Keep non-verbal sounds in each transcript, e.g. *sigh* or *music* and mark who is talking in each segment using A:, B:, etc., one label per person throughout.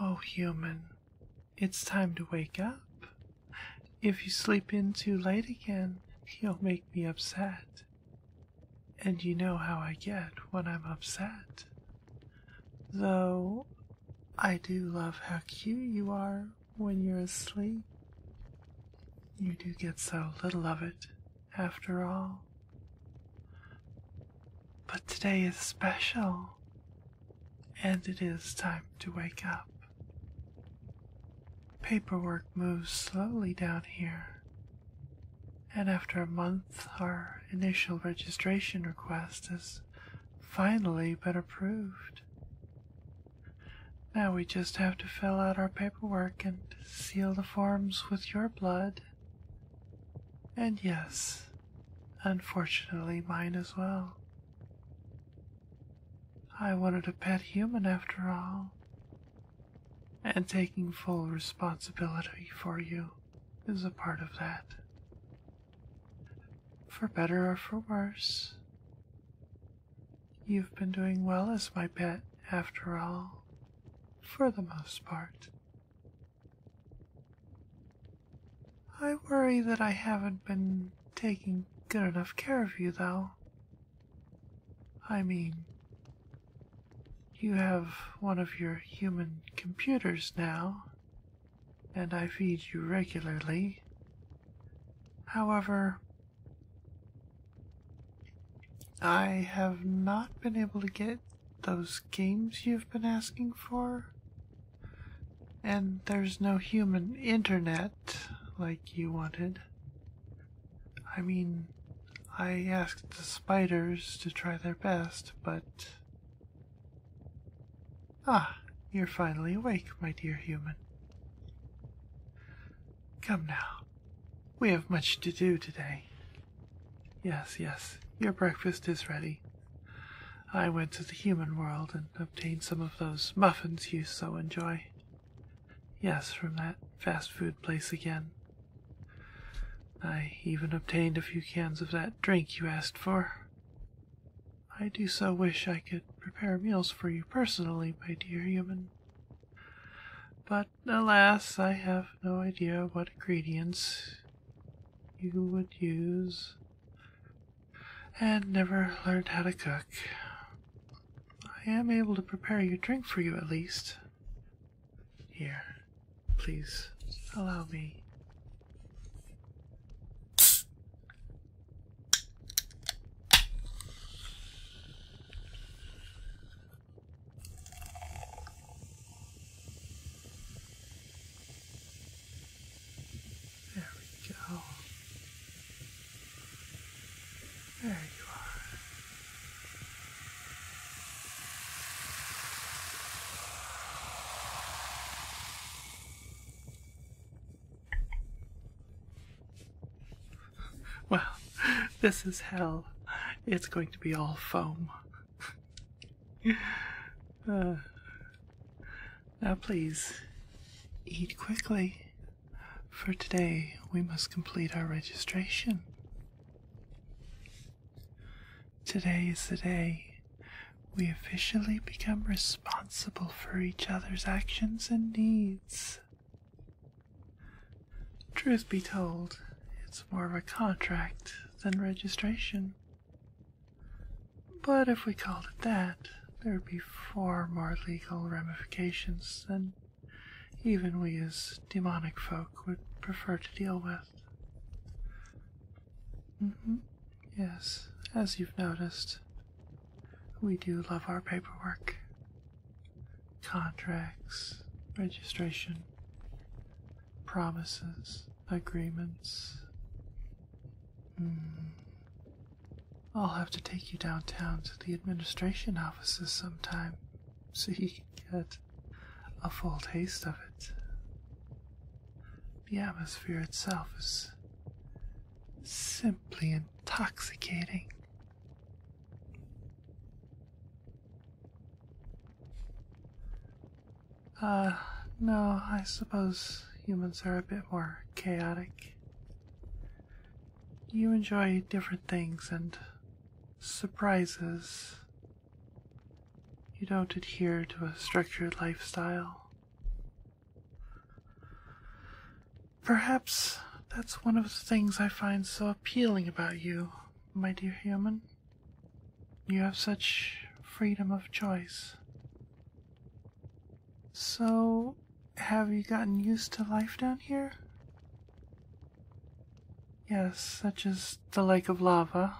A: Oh, human, it's time to wake up. If you sleep in too late again, you'll make me upset. And you know how I get when I'm upset. Though, I do love how cute you are when you're asleep. You do get so little of it, after all. But today is special, and it is time to wake up. Paperwork moves slowly down here, and after a month, our initial registration request has finally been approved. Now we just have to fill out our paperwork and seal the forms with your blood. And yes, unfortunately, mine as well. I wanted a pet human after all. And taking full responsibility for you is a part of that. For better or for worse, You've been doing well as my pet, after all, for the most part. I worry that I haven't been taking good enough care of you, though. I mean, you have one of your human computers now, and I feed you regularly. However, I have not been able to get those games you've been asking for. And there's no human internet like you wanted. I mean, I asked the spiders to try their best, but. Ah, you're finally awake, my dear human. Come now. We have much to do today. Yes, yes, your breakfast is ready. I went to the human world and obtained some of those muffins you so enjoy. Yes, from that fast food place again. I even obtained a few cans of that drink you asked for. I do so wish I could prepare meals for you personally, my dear human. But alas, I have no idea what ingredients you would use and never learned how to cook. I am able to prepare your drink for you at least. Here, please allow me. There we go. There you are. Well, this is hell. It's going to be all foam. Uh, now, please, eat quickly. For today, we must complete our registration. Today is the day we officially become responsible for each other's actions and needs. Truth be told, it's more of a contract than registration. But if we called it that, there would be far more legal ramifications than even we as demonic folk would prefer to deal with. Mm-hmm. Yes, as you've noticed, we do love our paperwork contracts, registration, promises, agreements. Hmm. I'll have to take you downtown to the administration offices sometime *laughs* so you can get a full taste of it. The atmosphere itself is simply intoxicating. Uh, no, I suppose humans are a bit more chaotic. You enjoy different things and surprises. You don't adhere to a structured lifestyle. Perhaps that's one of the things I find so appealing about you, my dear human. You have such freedom of choice. So, have you gotten used to life down here? Yes, such as the lake of lava.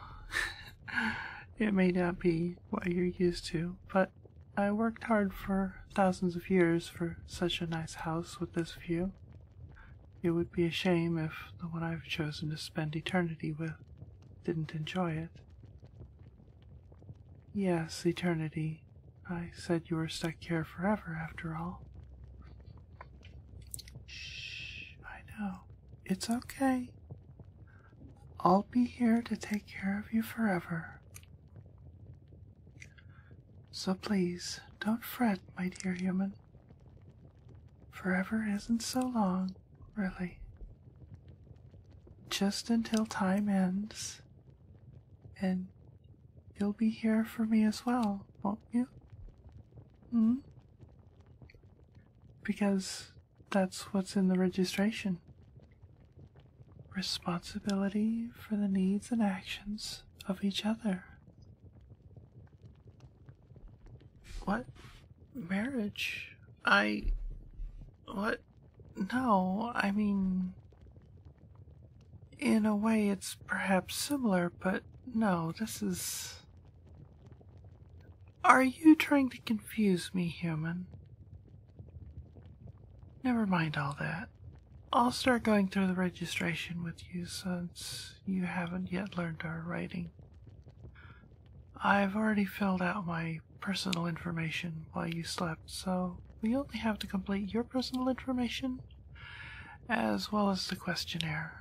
A: *laughs* it may not be what you're used to, but I worked hard for thousands of years for such a nice house with this view. It would be a shame if the one I've chosen to spend eternity with didn't enjoy it. Yes, eternity. I said you were stuck here forever, after all. Shh, I know. It's okay. I'll be here to take care of you forever. So please don't fret, my dear human. Forever isn't so long, really. Just until time ends. And you'll be here for me as well, won't you? Hmm? Because that's what's in the registration responsibility for the needs and actions of each other. What? Marriage? I. What? No, I mean. In a way, it's perhaps similar, but no, this is. Are you trying to confuse me, human? Never mind all that. I'll start going through the registration with you since you haven't yet learned our writing. I've already filled out my personal information while you slept, so we only have to complete your personal information as well as the questionnaire.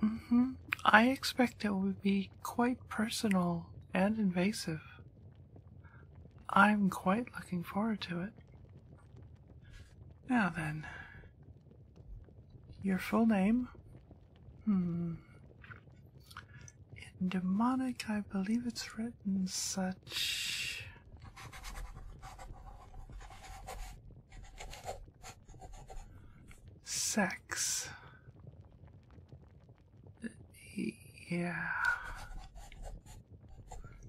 A: hmm. I expect it will be quite personal and invasive. I'm quite looking forward to it. Now then, your full name? Hmm. In demonic, I believe it's written such. Sex. Yeah.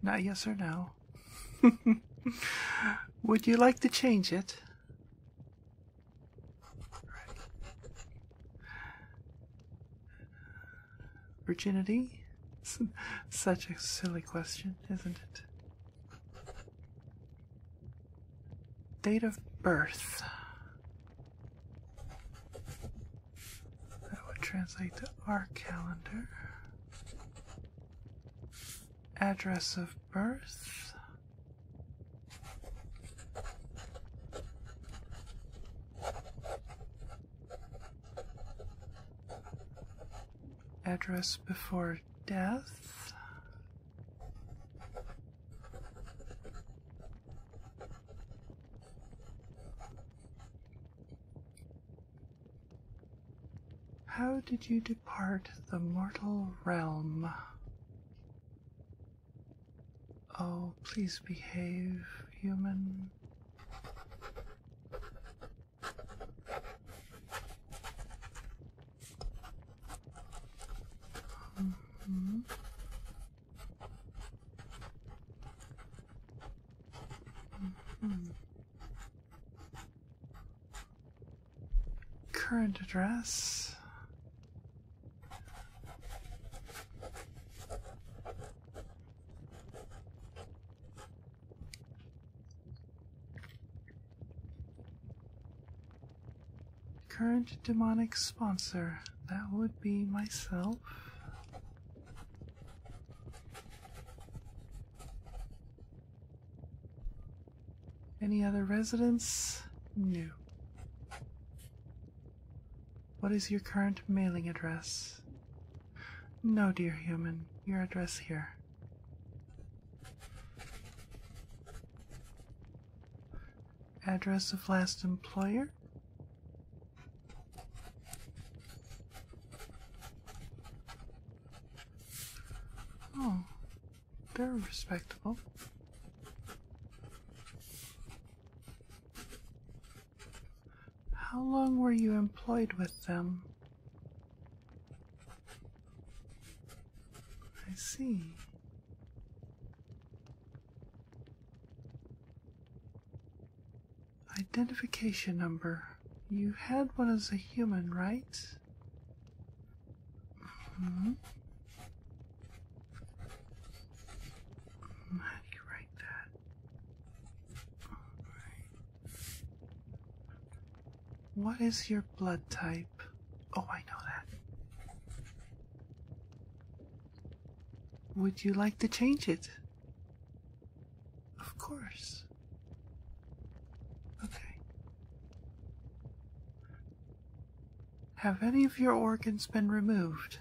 A: Not yes or no. *laughs* Would you like to change it? Virginity? *laughs* Such a silly question, isn't it? Date of birth. That would translate to our calendar. Address of birth. Address before death. How did you depart the mortal realm? Oh, please behave, human. Mm-hmm. Current address. Current demonic sponsor. That would be myself. Any other residence? No. What is your current mailing address? No, dear human, your address here. Address of last employer? Oh, they're respectable. How long were you employed with them? I see. Identification number. You had one as a human, right? Mm -hmm. write that? What is your blood type? Oh, I know that. Would you like to change it? Of course. Okay. Have any of your organs been removed?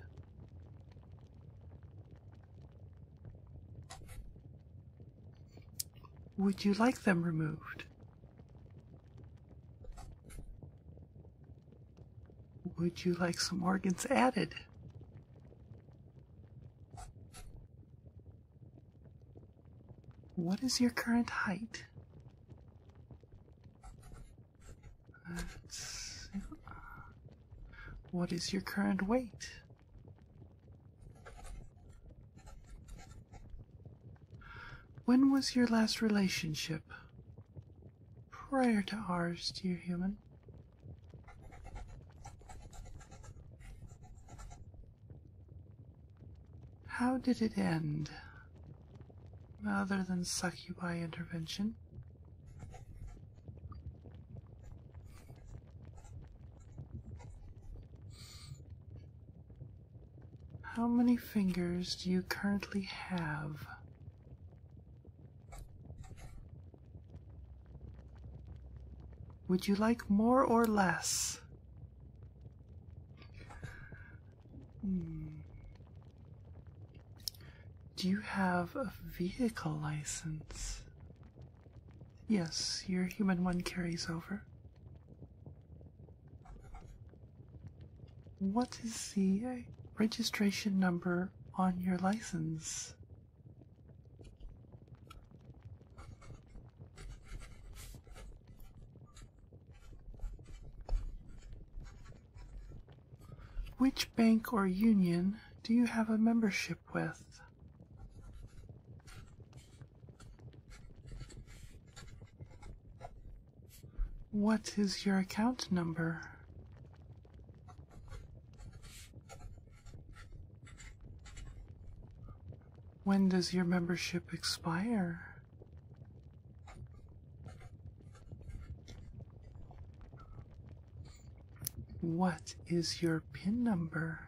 A: Would you like them removed? Would you like some organs added? What is your current height? What is your current weight? When was your last relationship? Prior to ours, dear human. How did it end? Other than succubi intervention. How many fingers do you currently have? Would you like more or less? Hmm. Do you have a vehicle license? Yes, your human one carries over. What is the registration number on your license? Which bank or union do you have a membership with? What is your account number? When does your membership expire? What is your PIN number?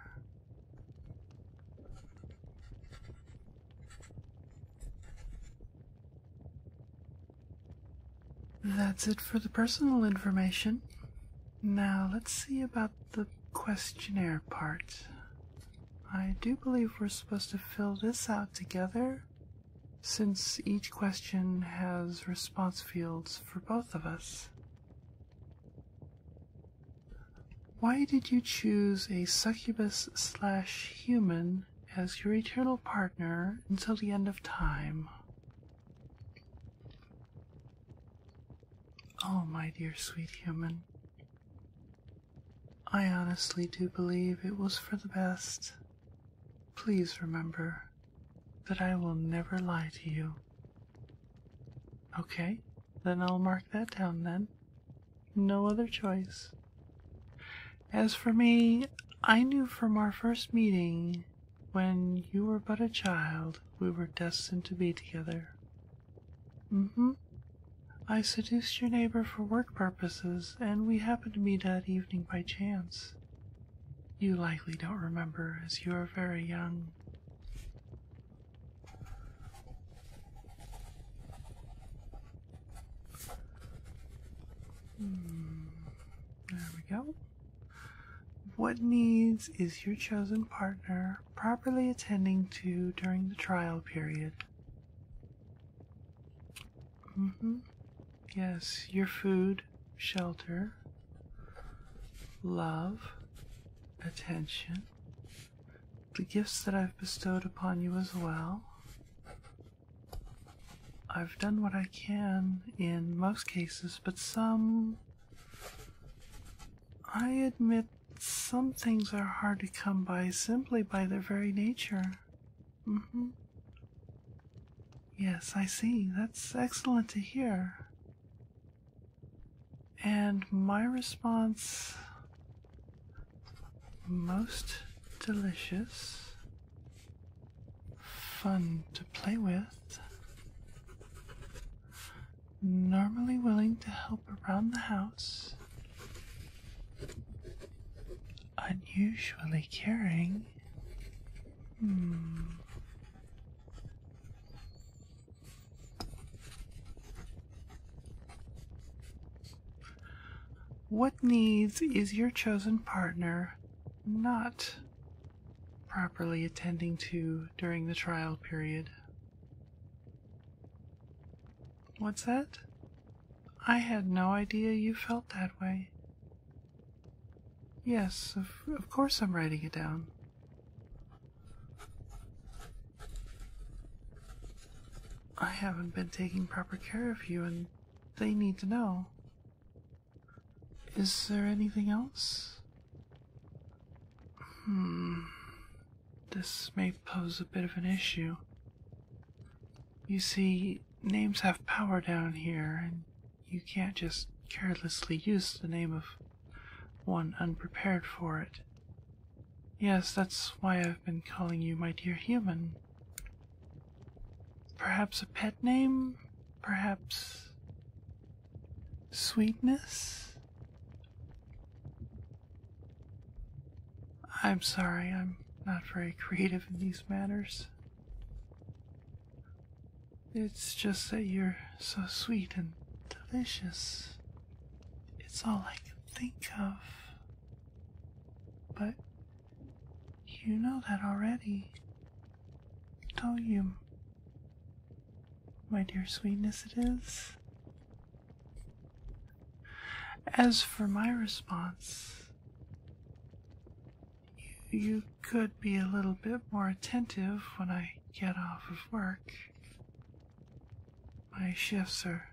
A: That's it for the personal information. Now let's see about the questionnaire part. I do believe we're supposed to fill this out together since each question has response fields for both of us. Why did you choose a succubus slash human as your eternal partner until the end of time? Oh, my dear sweet human, I honestly do believe it was for the best. Please remember that I will never lie to you. Okay, then I'll mark that down then. No other choice. As for me, I knew from our first meeting when you were but a child, we were destined to be together. Mm I seduced your neighbor for work purposes, and we happened to meet that evening by chance. You likely don't remember, as you are very young. Hmm. There we go. What needs is your chosen partner properly attending to during the trial period? Mm-hmm. Yes, your food, shelter, love, attention, the gifts that I've bestowed upon you as well. I've done what I can in most cases, but some. I admit some things are hard to come by simply by their very nature. Mm-hmm. Yes, I see. That's excellent to hear. And my response most delicious fun to play with. Normally willing to help around the house. Unusually caring. Hmm. What needs is your chosen partner not properly attending to during the trial period. What's that? I had no idea you felt that way. Yes, of, of course I'm writing it down. I haven't been taking proper care of you, and they need to know. Is there anything else? Hmm. This may pose a bit of an issue. You see, names have power down here, and you can't just carelessly use the name of one unprepared for it. Yes, that's why I've been calling you my dear human. Perhaps a pet name? Perhaps. sweetness? I'm sorry, I'm not very creative in these matters. It's just that you're so sweet and delicious. It's all I can think of. But you know that already. Tell you, my dear sweetness, it is. As for my response, you could be a little bit more attentive when I get off of work. My shifts are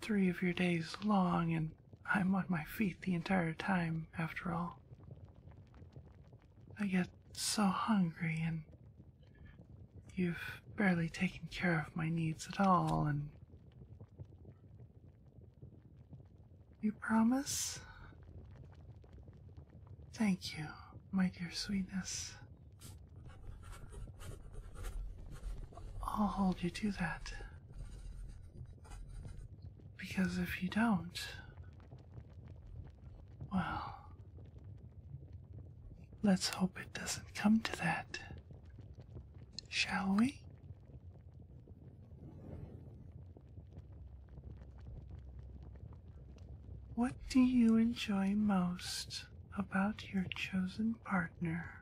A: three of your days long, and I'm on my feet the entire time, after all. I get so hungry, and you've barely taken care of my needs at all, and. You promise? Thank you, my dear sweetness. I'll hold you to that. Because if you don't, well, let's hope it doesn't come to that, shall we? What do you enjoy most about your chosen partner?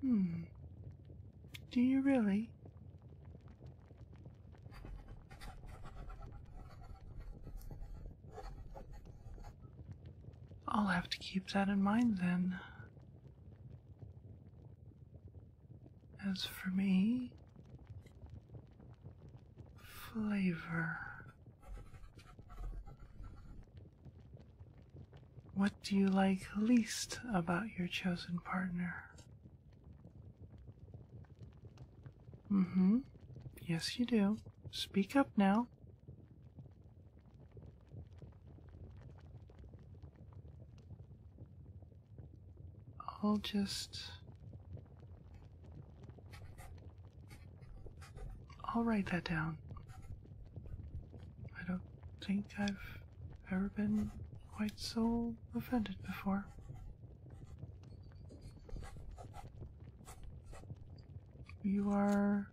A: Hmm. Do you really? I'll have to keep that in mind then. As for me, flavor. What do you like least about your chosen partner? Mm hmm. Yes, you do. Speak up now. I'll just. I'll write that down. I don't think I've ever been quite so offended before. You are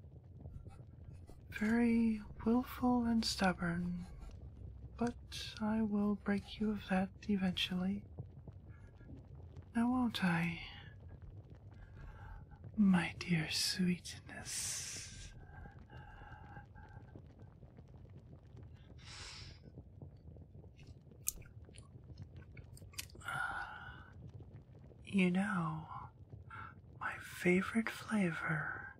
A: very willful and stubborn, but I will break you of that eventually. Now, won't I? My dear sweetness. You know, my favorite flavor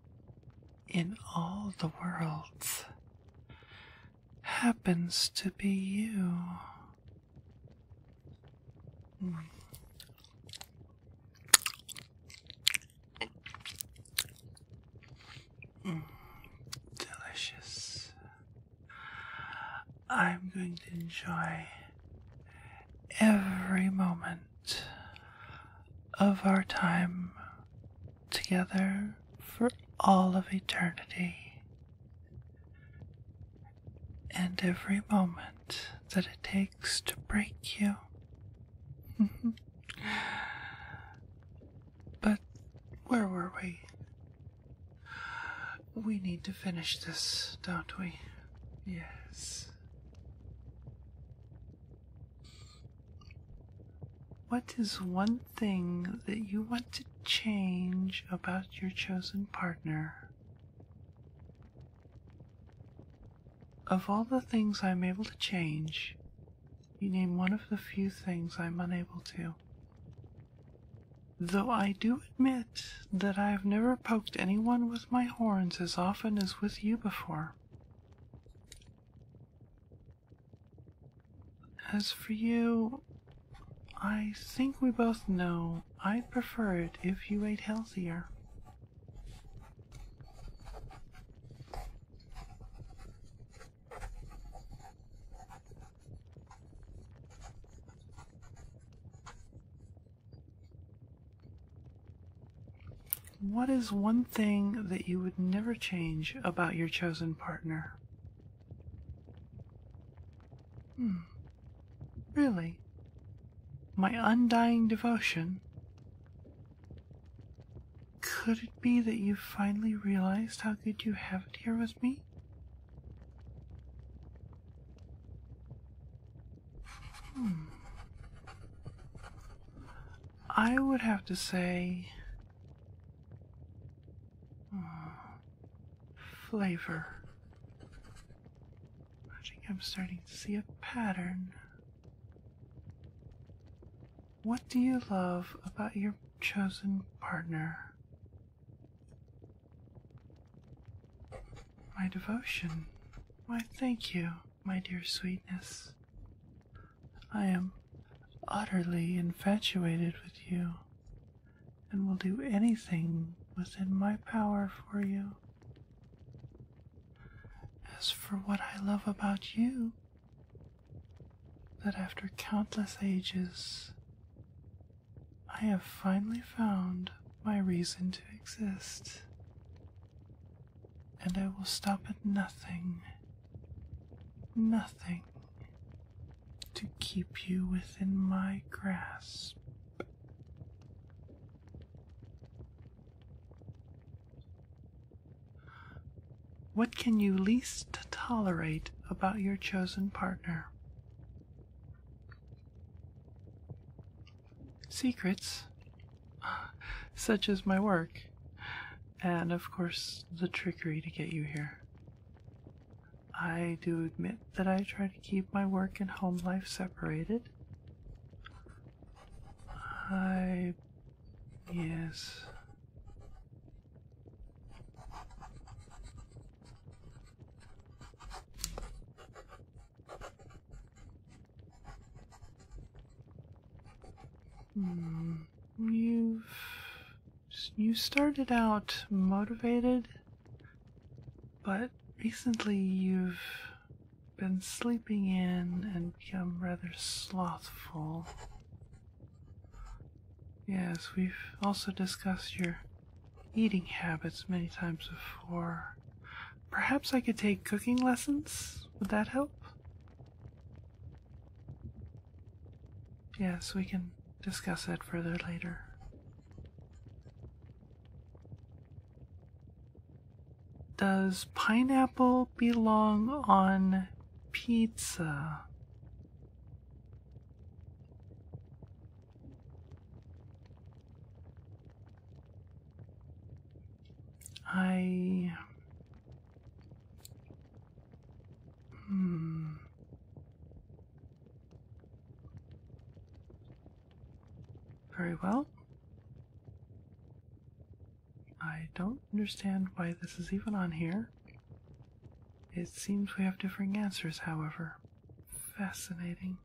A: in all the worlds happens to be you delicious. I'm going to enjoy every moment of our time together for all of eternity. And every moment that it takes to break you *laughs* but where were we? We need to finish this, don't we? Yes. What is one thing that you want to change about your chosen partner? Of all the things I'm able to change, you name one of the few things I'm unable to. Though I do admit that I have never poked anyone with my horns as often as with you before. As for you, I think we both know I'd prefer it if you ate healthier. What is one thing that you would never change about your chosen partner? Hmm. Really? My undying devotion? Could it be that you finally realized how good you have it here with me? Hmm. I would have to say. Hmm, flavor. I think I'm starting to see a pattern. What do you love about your chosen partner? My devotion. Why, thank you, my dear sweetness. I am utterly infatuated with you and will do anything within my power for you. As for what I love about you, that after countless ages, I have finally found my reason to exist, and I will stop at nothing, nothing to keep you within my grasp. What can you least tolerate about your chosen partner? Secrets, *laughs* such as my work, and of course the trickery to get you here. I do admit that I try to keep my work and home life separated. I Yes. Hmm. You've you started out motivated, but recently you've been sleeping in and become rather slothful. Yes, we've also discussed your eating habits many times before. Perhaps I could take cooking lessons? Would that help? Yes, we can discuss that further later. Does pineapple belong on pizza? I. Hmm. Very well. I don't understand why this is even on here. It seems we have differing answers, however. Fascinating.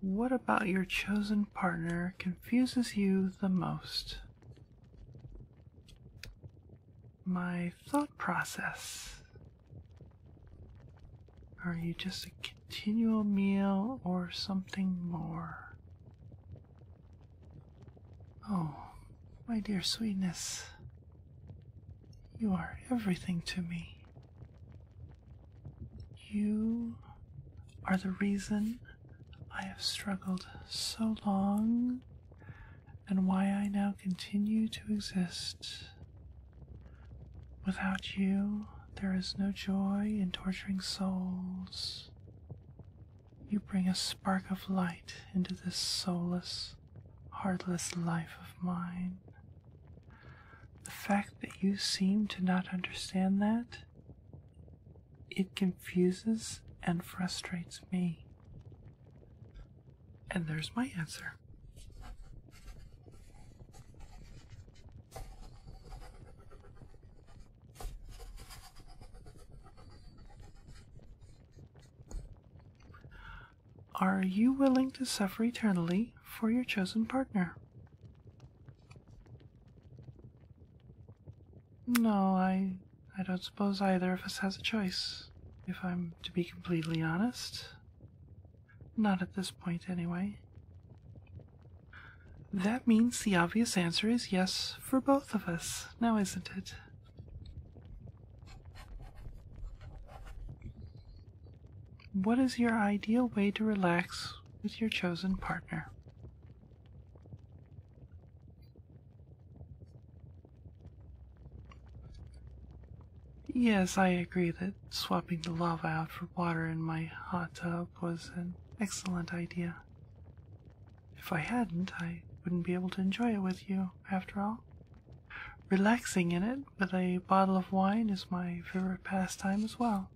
A: What about your chosen partner confuses you the most? My thought process. Are you just a continual meal or something more? Oh, my dear sweetness, you are everything to me. You are the reason I have struggled so long and why I now continue to exist. Without you, there is no joy in torturing souls. You bring a spark of light into this soulless, heartless life of mine. The fact that you seem to not understand that, it confuses and frustrates me. And there's my answer. Are you willing to suffer eternally for your chosen partner? No, I I don't suppose either of us has a choice, if I'm to be completely honest. Not at this point, anyway. That means the obvious answer is yes for both of us, now isn't it? What is your ideal way to relax with your chosen partner? Yes, I agree that swapping the lava out for water in my hot tub was an excellent idea. If I hadn't, I wouldn't be able to enjoy it with you, after all. Relaxing in it with a bottle of wine is my favorite pastime as well.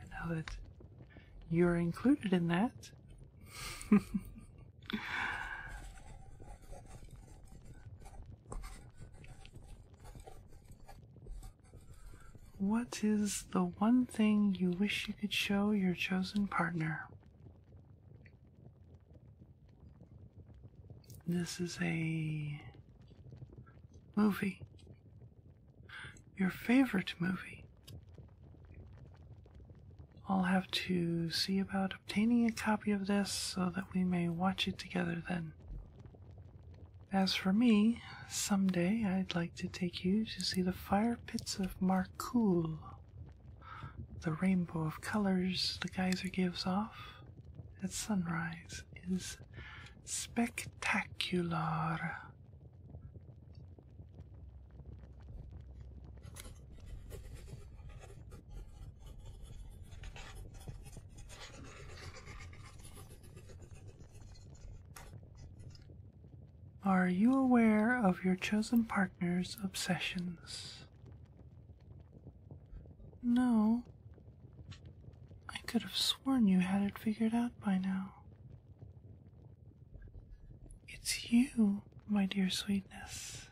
A: And now that you're included in that, *laughs* What is the one thing you wish you could show your chosen partner? This is a movie. Your favorite movie. I'll have to see about obtaining a copy of this so that we may watch it together then. As for me, someday I'd like to take you to see the fire pits of Marcoule. The rainbow of colors the geyser gives off at sunrise is spectacular. Are you aware of your chosen partner's obsessions? No. I could have sworn you had it figured out by now. It's you, my dear sweetness.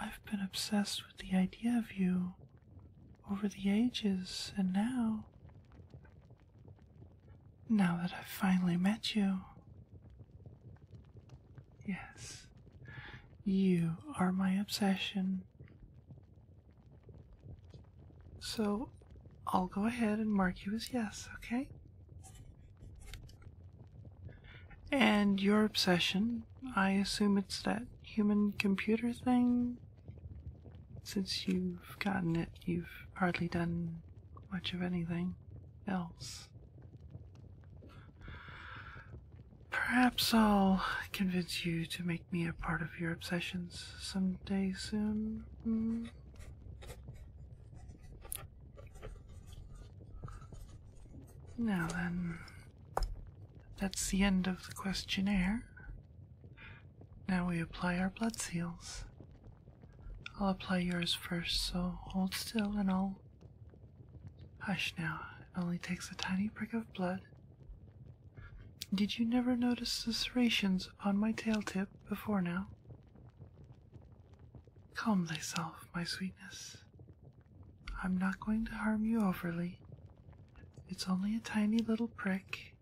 A: I've been obsessed with the idea of you over the ages, and now. Now that I've finally met you. Yes, you are my obsession. So I'll go ahead and mark you as yes, okay? And your obsession, I assume it's that human computer thing? Since you've gotten it, you've hardly done much of anything else. Perhaps I'll convince you to make me a part of your obsessions someday soon. Hmm? Now then, that's the end of the questionnaire. Now we apply our blood seals. I'll apply yours first, so hold still and I'll. Hush now, it only takes a tiny prick of blood. Did you never notice the serrations upon my tail tip before now? Calm thyself, my sweetness. I'm not going to harm you overly. It's only a tiny little prick.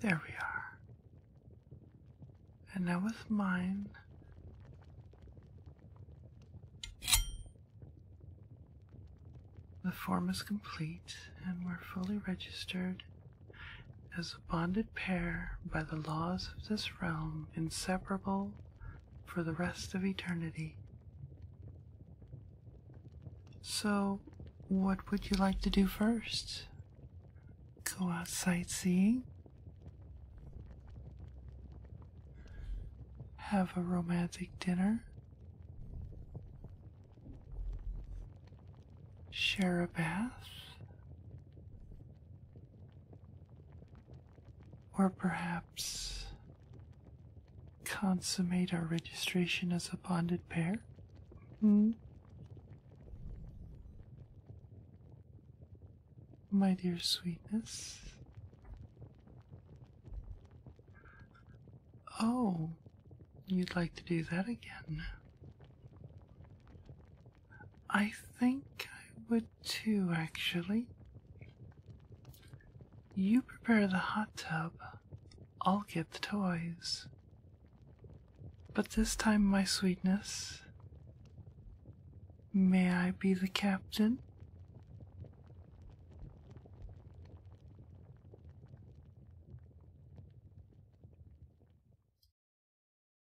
A: There we are. And now with mine. The form is complete and we're fully registered as a bonded pair by the laws of this realm, inseparable for the rest of eternity. So, what would you like to do first? Go out sightseeing? Have a romantic dinner? Share a bath? Or perhaps consummate our registration as a bonded pair? Hmm. My dear sweetness. Oh, you'd like to do that again. I think I would too, actually. You prepare the hot tub, I'll get the toys. But this time, my sweetness, may I be the captain?